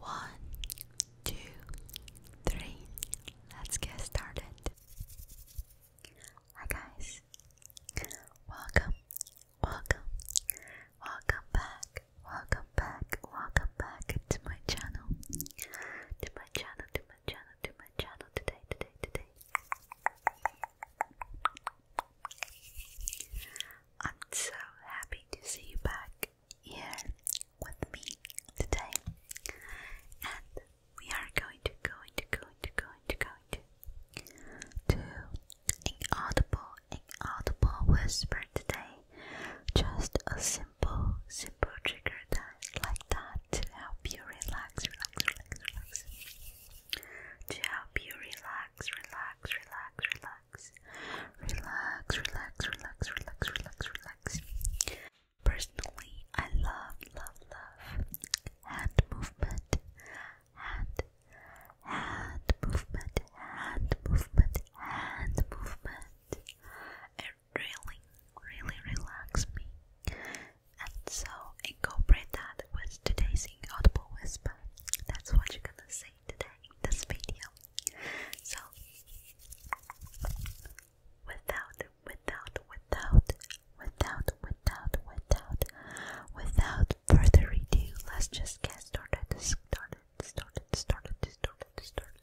One, two, three. Let's get started. Hi guys. Welcome. Welcome. Welcome back. Welcome back. Welcome back to my channel. To my channel, to my channel, to my channel today, today, today. I'm so happy to see you back here with me today. And we are going to going to going to going to going to do inaudible inaudible whisper today. Just a simple simple trigger that like that to help you relax, relax, relax, relax. To help you relax, relax, relax, relax relax, relax, relax, relax, relax, relax, Personally, I love, love, love hand movement, hand, hand movement, hand movement, hand movement. It really, really relaxes me. And so incorporate that with today's inaudible whisper. That's what you're gonna see today this video. So without without without without without without without further ado, let's just get started started started started started started.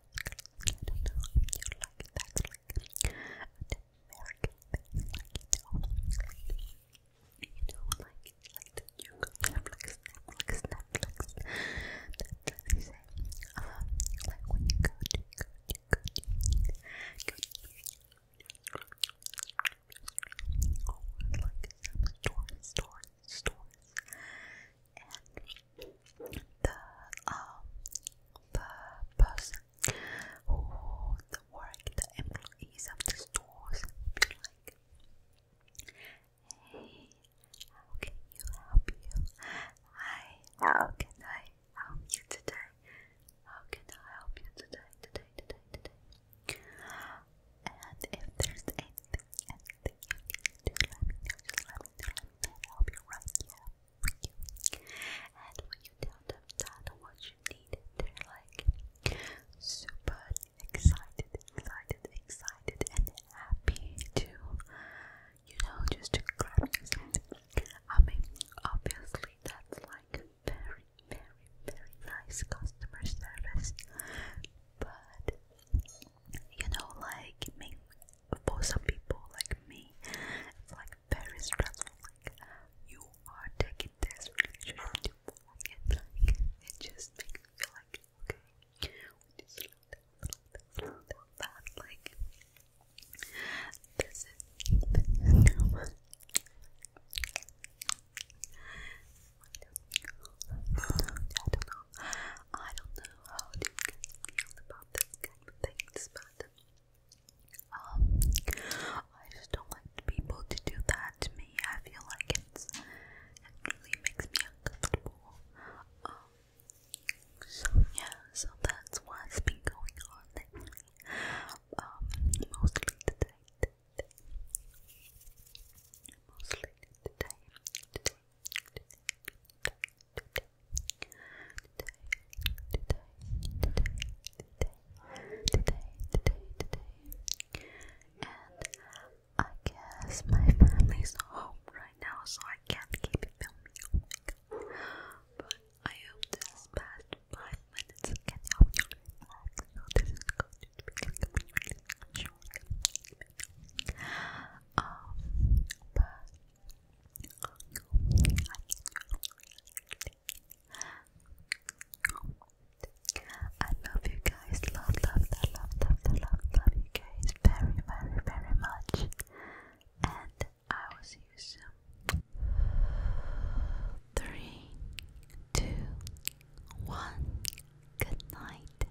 don't know if you like that, like an American thing, like, you know, like, you know, like, like the new Netflix, Netflix, Netflix, that they say, uh, like when you go to, go to, go to, go to, or like some stores, stores, stores, and the um, the person who the work the employees of the stores be like Hey, how can you help you? Hi, how can I help you today? How can I help you today, today, today, today? And if there's anything anything let me know, just let me know, let I'll be right here And when you tell them what you need, they're like super excited, excited, excited, and happy to, you know, just to grab your I mean, obviously that's like very, very, very nice customer service, but you know, like me, for some people like me, it's like very stressful. Like you are taking this relationship to and it just makes me feel like okay, we just slow down, slow down, slow down. Like this is I don't know. I don't know how you feel about this kind of things, but um, I just don't like people to do that to me. I feel like it's it really makes me uncomfortable. Um, so yeah, so that's what's been going on um, mostly today. Mostly today, today, and I guess my family's home right now, so I can't keep filming. but I hope this past five minutes can you I love you guys, love, love, love, love, love, love you guys very, very, very much, and I will see you soon. Three, two, one. Good night.